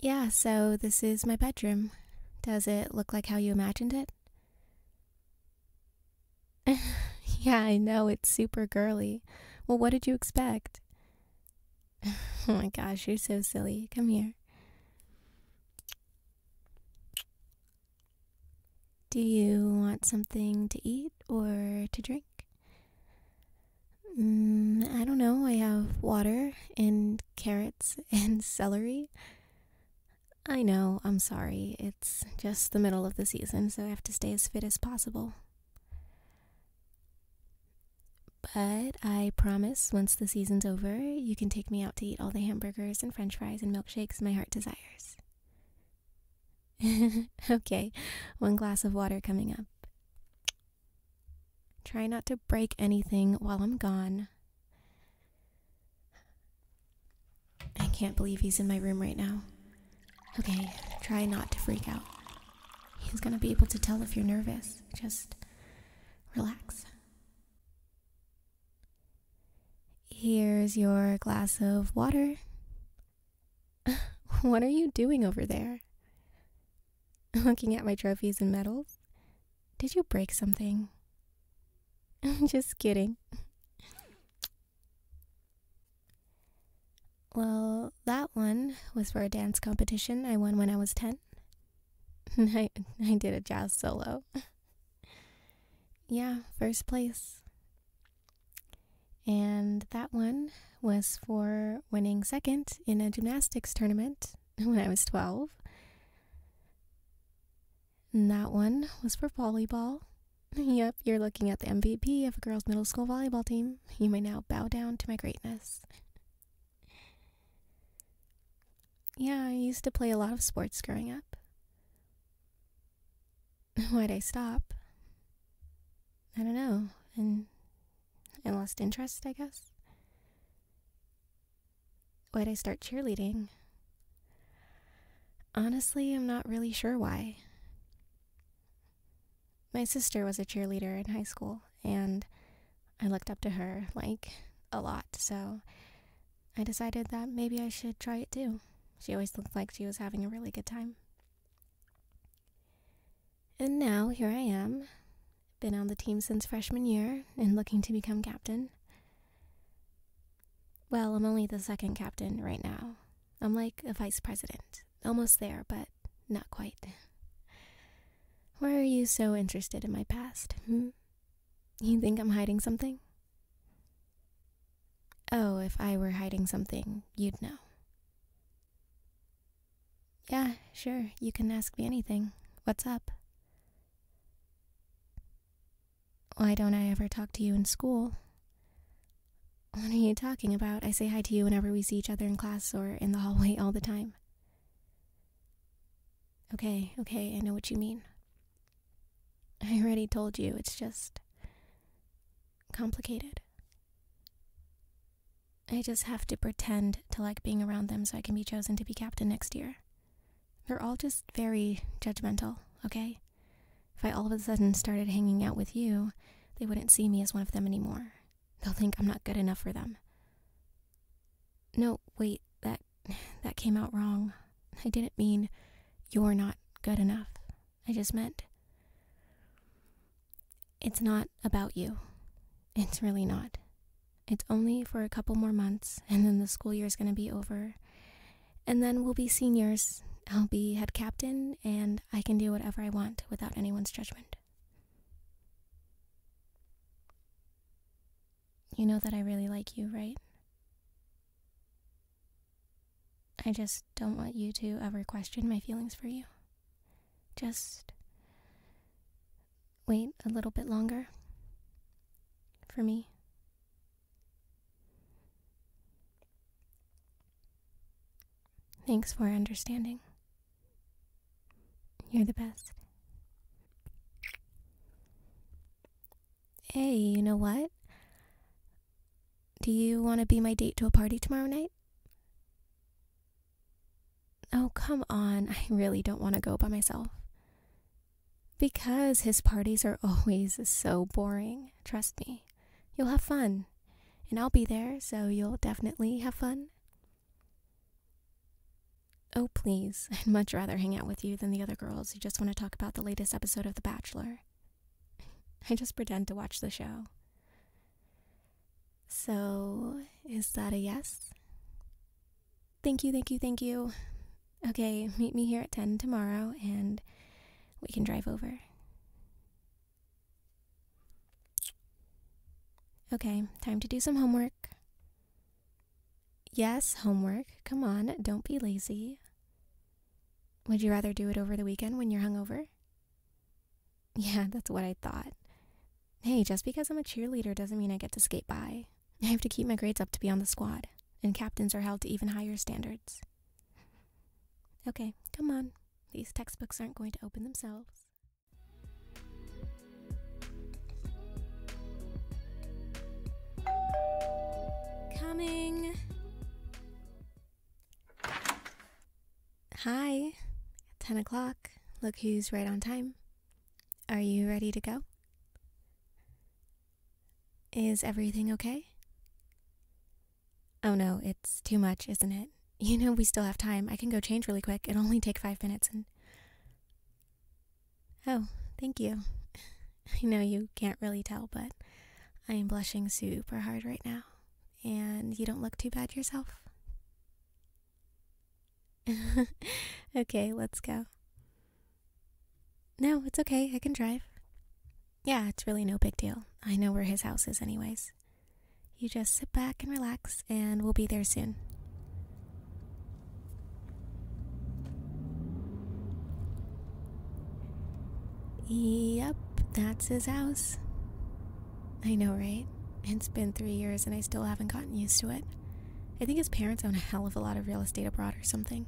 Yeah, so this is my bedroom. Does it look like how you imagined it? yeah, I know, it's super girly. Well, what did you expect? oh my gosh, you're so silly. Come here. Do you want something to eat or to drink? Mm, I don't know. I have water and carrots and celery. I know, I'm sorry. It's just the middle of the season, so I have to stay as fit as possible. But I promise once the season's over, you can take me out to eat all the hamburgers and french fries and milkshakes my heart desires. okay, one glass of water coming up. Try not to break anything while I'm gone. I can't believe he's in my room right now. Okay, try not to freak out. He's gonna be able to tell if you're nervous. Just relax. Here's your glass of water. what are you doing over there? Looking at my trophies and medals? Did you break something? I'm Just kidding. Well, that one was for a dance competition I won when I was 10. I, I did a jazz solo. yeah, first place. And that one was for winning second in a gymnastics tournament when I was 12. And that one was for volleyball. Yep, you're looking at the MVP of a girls' middle school volleyball team. You may now bow down to my greatness. Yeah, I used to play a lot of sports growing up. Why'd I stop? I don't know, and I lost interest, I guess. Why'd I start cheerleading? Honestly, I'm not really sure why. My sister was a cheerleader in high school, and I looked up to her, like, a lot, so I decided that maybe I should try it too. She always looked like she was having a really good time. And now here I am, been on the team since freshman year and looking to become captain. Well, I'm only the second captain right now. I'm like a vice president, almost there, but not quite. Why are you so interested in my past? Hmm? You think I'm hiding something? Oh, if I were hiding something, you'd know. Yeah, sure. You can ask me anything. What's up? Why don't I ever talk to you in school? What are you talking about? I say hi to you whenever we see each other in class or in the hallway all the time. Okay, okay, I know what you mean. I already told you, it's just complicated. I just have to pretend to like being around them so I can be chosen to be captain next year. They're all just very judgmental, okay? If I all of a sudden started hanging out with you, they wouldn't see me as one of them anymore. They'll think I'm not good enough for them. No, wait, that that came out wrong. I didn't mean you're not good enough. I just meant. It's not about you. It's really not. It's only for a couple more months, and then the school year is going to be over. And then we'll be seniors. I'll be head captain, and I can do whatever I want without anyone's judgment. You know that I really like you, right? I just don't want you to ever question my feelings for you. Just wait a little bit longer for me. Thanks for understanding. You're the best. Hey, you know what? Do you want to be my date to a party tomorrow night? Oh, come on. I really don't want to go by myself. Because his parties are always so boring. Trust me. You'll have fun. And I'll be there, so you'll definitely have fun. Oh, please. I'd much rather hang out with you than the other girls who just want to talk about the latest episode of The Bachelor. I just pretend to watch the show. So, is that a yes? Thank you, thank you, thank you. Okay, meet me here at 10 tomorrow and we can drive over. Okay, time to do some homework. Yes, homework. Come on, don't be lazy. Would you rather do it over the weekend when you're hungover? Yeah, that's what I thought. Hey, just because I'm a cheerleader doesn't mean I get to skate by. I have to keep my grades up to be on the squad, and captains are held to even higher standards. Okay, come on. These textbooks aren't going to open themselves. Coming. Hi, 10 o'clock. Look who's right on time. Are you ready to go? Is everything okay? Oh no, it's too much, isn't it? You know we still have time. I can go change really quick. It'll only take five minutes and. Oh, thank you. I know you can't really tell, but I am blushing super hard right now and you don't look too bad yourself? okay, let's go. No, it's okay. I can drive. Yeah, it's really no big deal. I know where his house is, anyways. You just sit back and relax, and we'll be there soon. Yep, that's his house. I know, right? It's been three years and I still haven't gotten used to it. I think his parents own a hell of a lot of real estate abroad or something,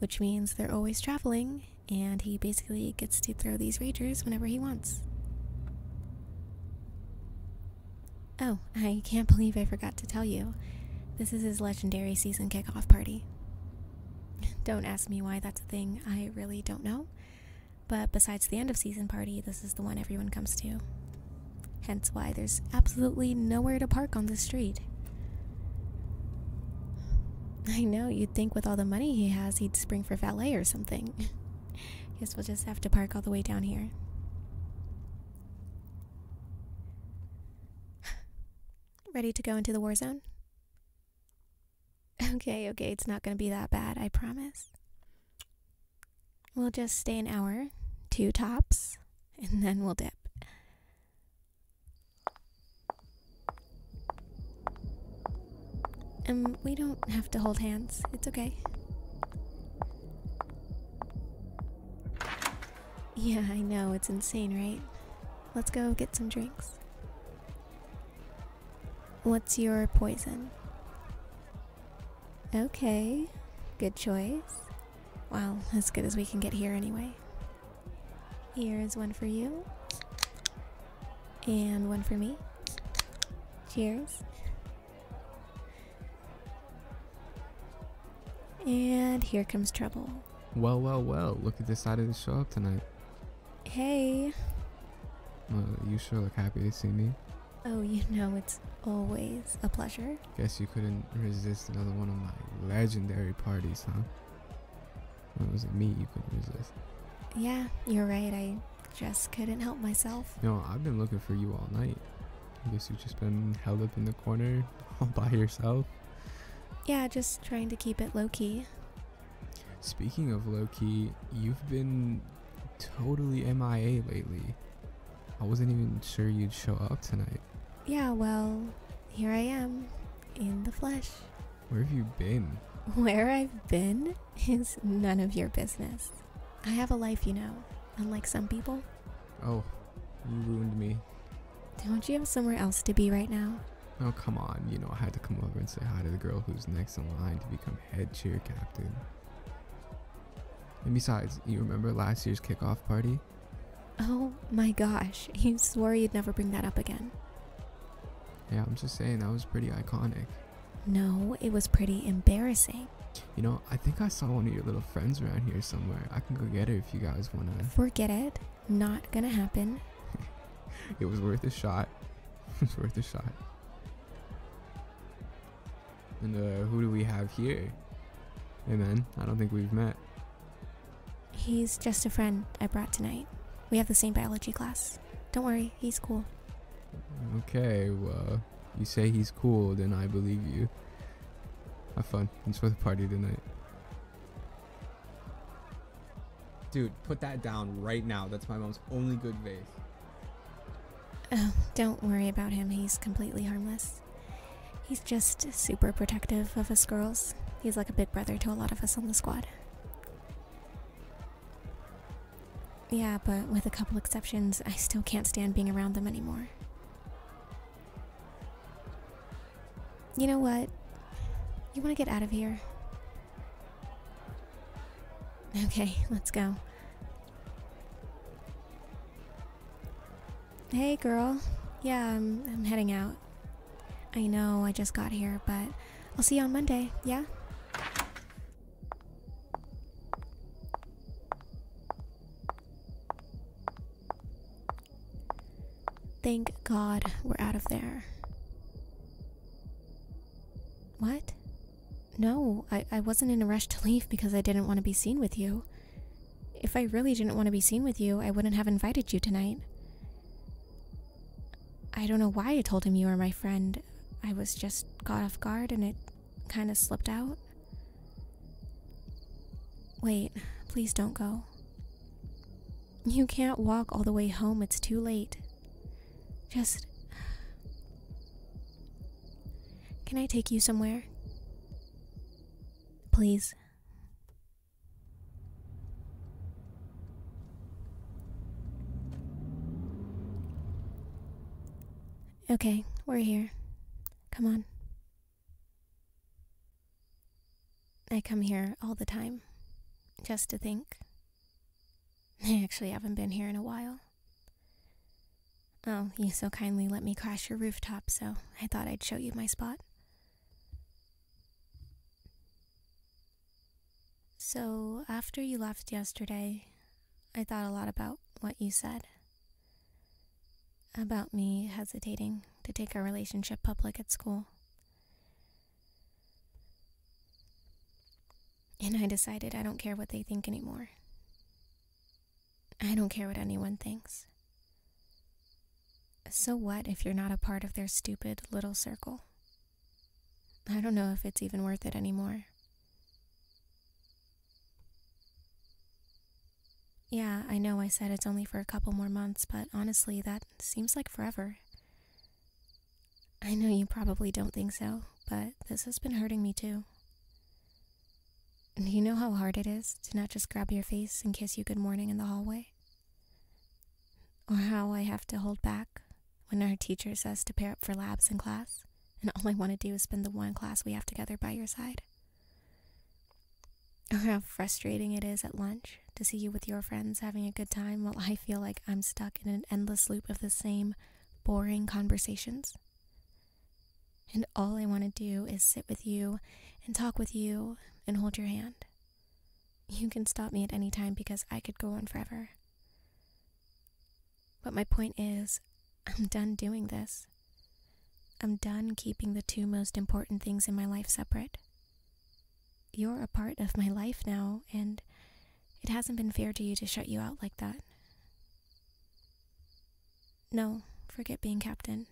which means they're always traveling and he basically gets to throw these ragers whenever he wants. Oh, I can't believe I forgot to tell you. This is his legendary season kickoff party. Don't ask me why that's a thing, I really don't know. But besides the end of season party, this is the one everyone comes to. Hence why there's absolutely nowhere to park on the street. I know, you'd think with all the money he has, he'd spring for valet or something. Guess we'll just have to park all the way down here. Ready to go into the war zone? Okay, okay, it's not gonna be that bad, I promise. We'll just stay an hour, two tops, and then we'll dip. And um, we don't have to hold hands, it's okay. Yeah, I know, it's insane, right? Let's go get some drinks. What's your poison? Okay, good choice. Well, as good as we can get here anyway. Here is one for you, and one for me. Cheers. And here comes trouble. Well, well, well, look at this side of the show up tonight. Hey. Well, you sure look happy to see me. Oh, you know, it's always a pleasure. Guess you couldn't resist another one of my legendary parties, huh? When was it me you couldn't resist? Yeah, you're right. I just couldn't help myself. No, I've been looking for you all night. I guess you've just been held up in the corner all by yourself. Yeah, just trying to keep it low key. Speaking of Loki, you've been totally MIA lately. I wasn't even sure you'd show up tonight. Yeah, well, here I am, in the flesh. Where have you been? Where I've been is none of your business. I have a life, you know, unlike some people. Oh, you ruined me. Don't you have somewhere else to be right now? Oh, come on. You know, I had to come over and say hi to the girl who's next in line to become head cheer captain. And besides, you remember last year's kickoff party? Oh my gosh, you swore you'd never bring that up again. Yeah, I'm just saying, that was pretty iconic. No, it was pretty embarrassing. You know, I think I saw one of your little friends around here somewhere. I can go get her if you guys want to. Forget it. Not gonna happen. it was worth a shot. it was worth a shot. And uh, who do we have here? Hey man, I don't think we've met. He's just a friend I brought tonight. We have the same biology class. Don't worry, he's cool. Okay, well, you say he's cool, then I believe you. Have fun. Enjoy the party tonight. Dude, put that down right now. That's my mom's only good vase. Oh, don't worry about him. He's completely harmless. He's just super protective of us girls. He's like a big brother to a lot of us on the squad. Yeah, but with a couple exceptions, I still can't stand being around them anymore. You know what? You want to get out of here? Okay, let's go. Hey, girl. Yeah, I'm, I'm heading out. I know I just got here, but I'll see you on Monday, yeah? Thank God we're out of there. What? No, I, I wasn't in a rush to leave because I didn't want to be seen with you. If I really didn't want to be seen with you, I wouldn't have invited you tonight. I don't know why I told him you were my friend. I was just got off guard and it kind of slipped out. Wait, please don't go. You can't walk all the way home, it's too late. Just. Can I take you somewhere? Please. Okay, we're here. Come on. I come here all the time, just to think. I actually haven't been here in a while. Oh, you so kindly let me crash your rooftop, so I thought I'd show you my spot. So, after you left yesterday, I thought a lot about what you said. About me hesitating to take our relationship public at school. And I decided I don't care what they think anymore. I don't care what anyone thinks. So what if you're not a part of their stupid little circle? I don't know if it's even worth it anymore. Yeah, I know I said it's only for a couple more months, but honestly, that seems like forever. I know you probably don't think so, but this has been hurting me too. you know how hard it is to not just grab your face and kiss you good morning in the hallway? Or how I have to hold back when our teacher says to pair up for labs in class, and all I want to do is spend the one class we have together by your side? Or how frustrating it is at lunch to see you with your friends having a good time while I feel like I'm stuck in an endless loop of the same boring conversations. And all I want to do is sit with you and talk with you and hold your hand. You can stop me at any time because I could go on forever. But my point is, I'm done doing this. I'm done keeping the two most important things in my life separate you're a part of my life now, and it hasn't been fair to you to shut you out like that. No, forget being captain.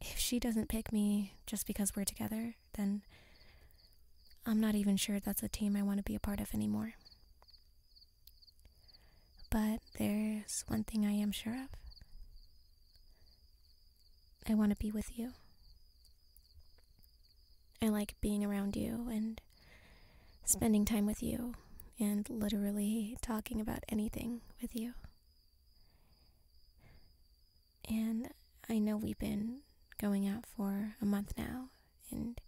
If she doesn't pick me just because we're together, then I'm not even sure that's a team I want to be a part of anymore. But there's one thing I am sure of I want to be with you. I like being around you and spending time with you and literally talking about anything with you. And I know we've been going out for a month now, and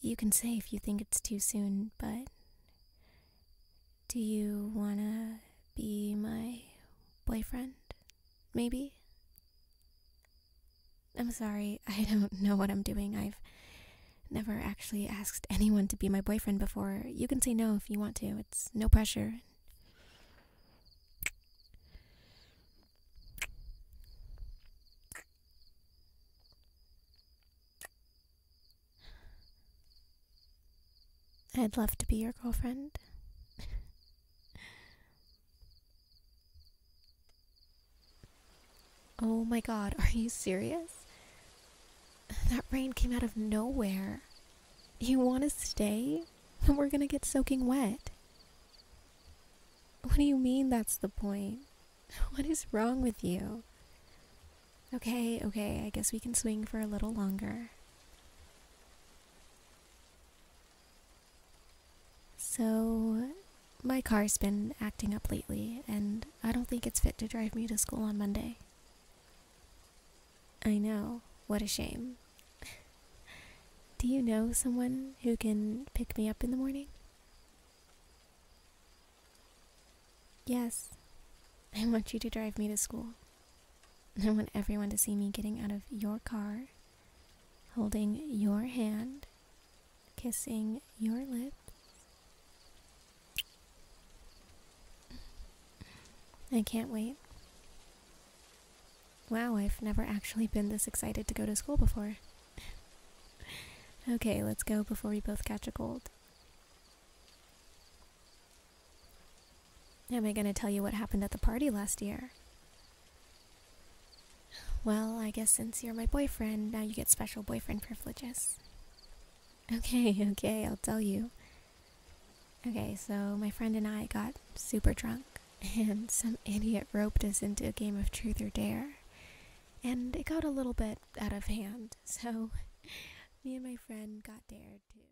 you can say if you think it's too soon, but do you want to be my boyfriend? maybe? I'm sorry, I don't know what I'm doing. I've never actually asked anyone to be my boyfriend before. You can say no if you want to, it's no pressure. I'd love to be your girlfriend. oh my god, are you serious? That rain came out of nowhere. You want to stay? We're gonna get soaking wet. What do you mean that's the point? What is wrong with you? Okay, okay, I guess we can swing for a little longer. So, my car's been acting up lately, and I don't think it's fit to drive me to school on Monday. I know, what a shame. Do you know someone who can pick me up in the morning? Yes, I want you to drive me to school. I want everyone to see me getting out of your car, holding your hand, kissing your lips. I can't wait. Wow, I've never actually been this excited to go to school before. okay, let's go before we both catch a cold. Am I going to tell you what happened at the party last year? Well, I guess since you're my boyfriend, now you get special boyfriend privileges. Okay, okay, I'll tell you. Okay, so my friend and I got super drunk, and some idiot roped us into a game of truth or dare. And it got a little bit out of hand, so me and my friend got dared to.